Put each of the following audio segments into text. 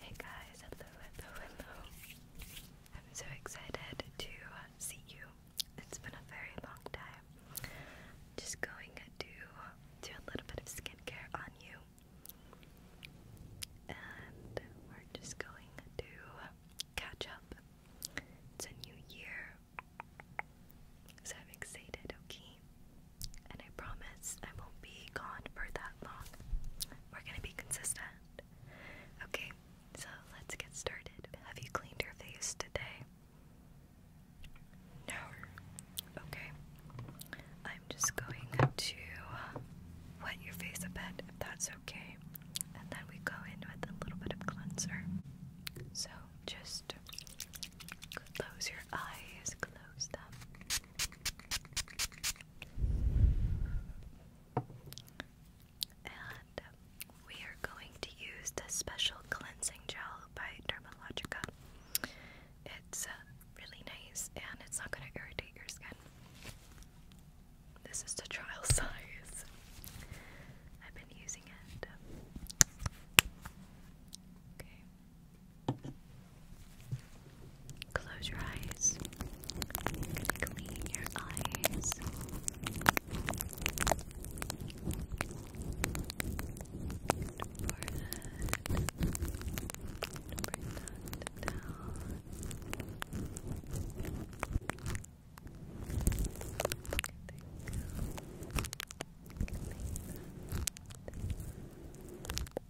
Hey guys, hello, hello, hello. I'm so excited to see you. It's been a very long time. Just going to do a little bit of skincare on you. And we're just going to catch up. It's a new year. So I'm excited, okay? and I promise I won't be gone for that long. We're gonna be consistent. Okay, so let's get started. Have you cleaned your face today? No. Okay. I'm just going to wet your face a bit if that's okay. And then we go in with a little bit of cleanser. So just close your eyes, close them. And we are going to use the special cleansing gel by Dermalogica. It's uh, really nice and it's not going to irritate your skin. This is the trial size. I've been using it. Okay. Close your eyes. Clean your eyes. Forehead. Bring that down. There you go. Clean Clean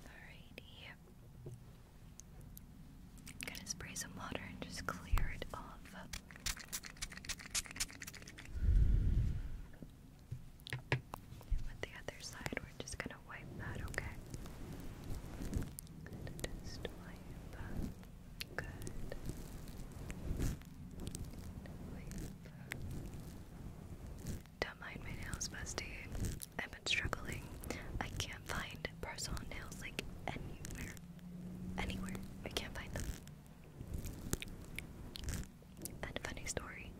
Alrighty. I'm gonna spray some water and just clear it off. And the other side, we're just gonna wipe that, okay? Just wipe. Don't mind my nails, Busty. I've been struggling. I can't find personal nails like anywhere. Anywhere. I can't find them. And funny story.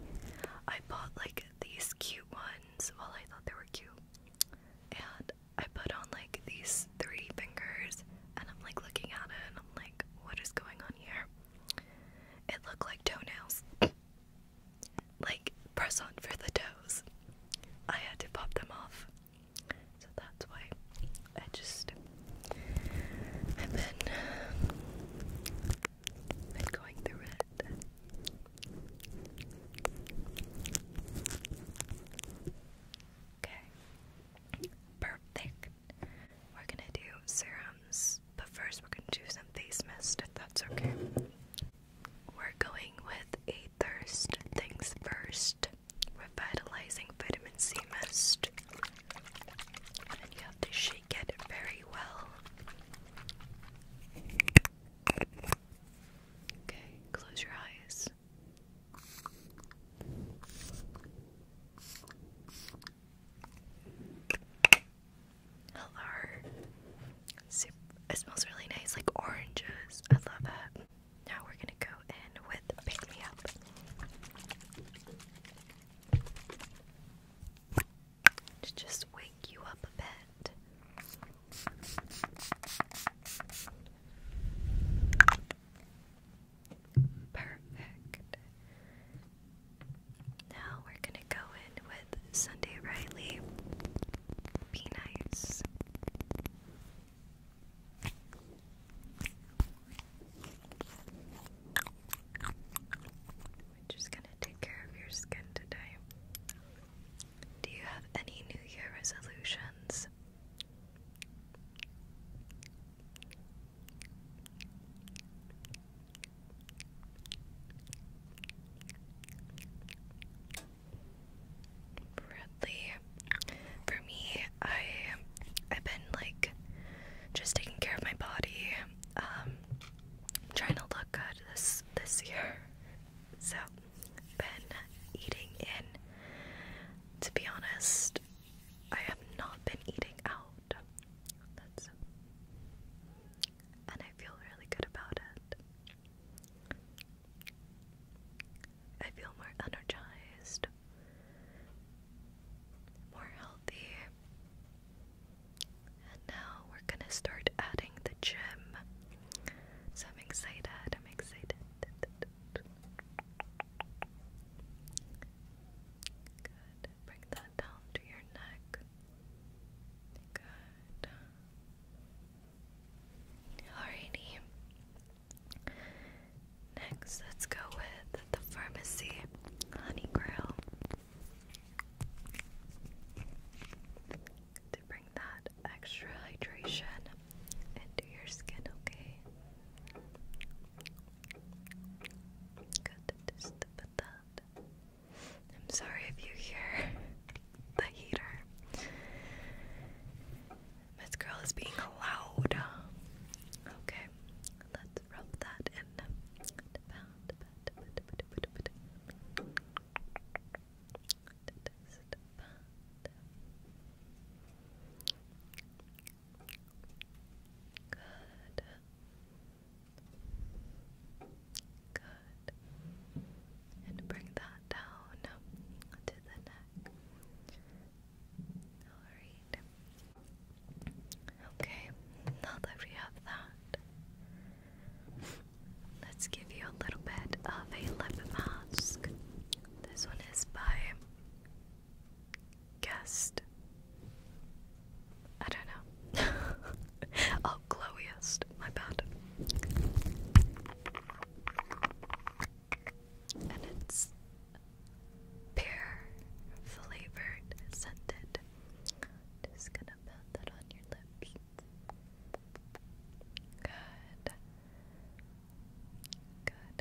I bought like these cute ones. Well, I thought they were cute. And I put on like these three fingers, and I'm like looking at it and I'm like, what is going on here? It looked like toenails. like press on for the toes. I had to pop them off. So that's why I just I've been, been going through it. Okay. Perfect. We're gonna do serums, but first we're gonna do some face mist if that's okay. We're going with a thirst things first revitalizing vitamin C mist. And you have to shake it very well. Okay, close your eyes. Hello. it smells really nice, like oranges. I love it. Now we're gonna go in with Pick Me Up. To just wake you up a bit. Perfect. Now we're going to go in with Sunday Riley. Be nice. We're just going to take care of your skin today. Do you have any New Year resolutions? Bradley, for me, I I've been like just taking care of my body. Um, am trying to look good this this year, so been eating in. To be honest, I have not been eating out. That's and I feel really good about it. I feel more energized, more healthy. And now we're gonna start adding the gym. So I'm excited, I'm excited. Good. Bring that down to your neck. Good. Alrighty. Next, let's go with the pharmacy honey that extra hydration into your skin, okay? Good, I'm sorry if you hear the heater. This girl is being loud. Okay, let's rub that in. Good. Good. And bring that down to the neck. Alright. Okay, now that we have that, let's give you a little bit of a lip mask. This one is by Guest. I don't know. oh, Glowiest. My bad. And it's pear flavored, scented. Just gonna put that on your lips. Good. Good.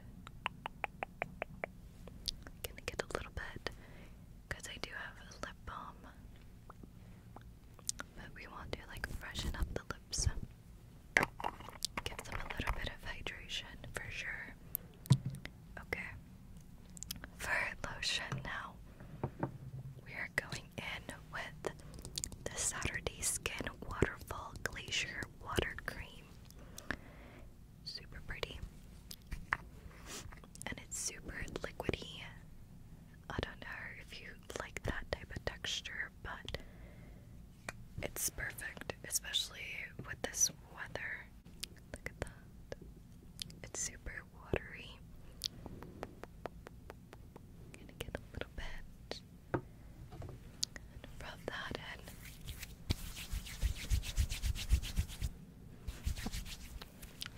i gonna get a little bit because I do have a lip balm, but we want to like freshen up the lips, give them a little bit of hydration for sure. Okay, for lotion now, we are going filling in with the Saturday Skin Waterfall Glacier Water Cream. Super pretty. And it's super liquidy. I don't know if you like that type of texture, but it's perfect, especially with this weather. Look at that. It's super watery. gonna get a little bit and rub that in.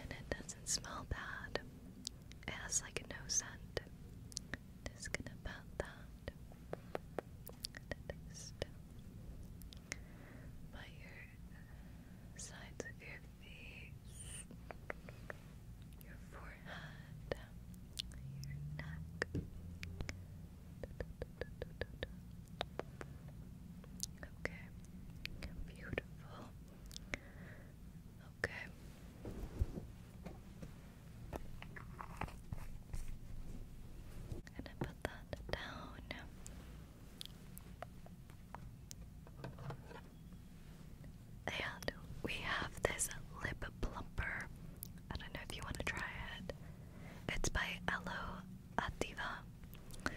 And it doesn't smell bad. It has like no scent. Just gonna pat that. Just by your sides of your face your forehead, your neck, okay, beautiful, okay. gonna put that down. And we have this lip plumper. I don't know if you want to try it. It's by Elo Attiva.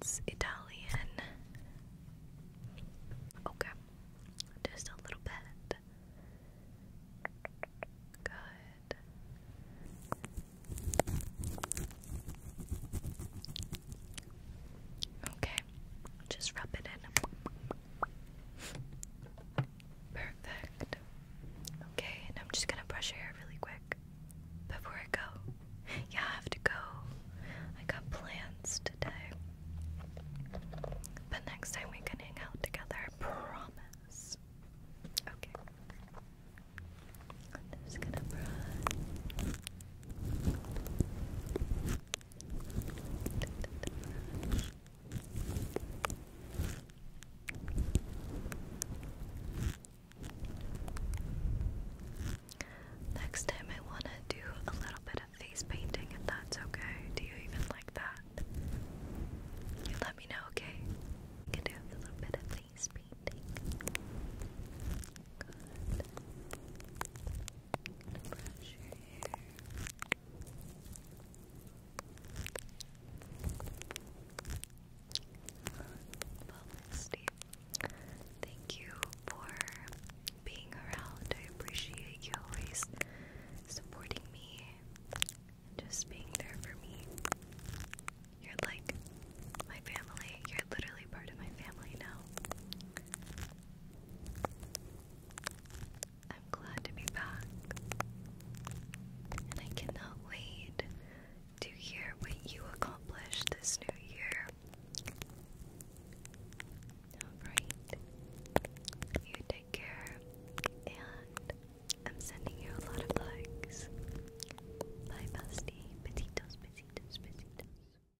It's Italian. Okay. Just a little bit. Good. Okay. Just rub it in. Perfect. Okay, and I'm just gonna brush your hair really quick before I go. Yeah, I have to go. I got plans today. But next time we can hang out together, I promise. Okay. I'm just gonna brush. Next time, I want to do a little bit of face painting, if that's okay. Do you even like that? You let me know, okay? can do a little bit of face painting brush thank you for being around. I appreciate you always supporting me and just being there for me. You're like my family. You're literally part of my family now. I'm glad to be back, and I cannot wait to hear what you accomplished this new year. Alright, you take care, and I'm sending you a lot of likes. Bye, bestie. Besitos, besitos, besitos.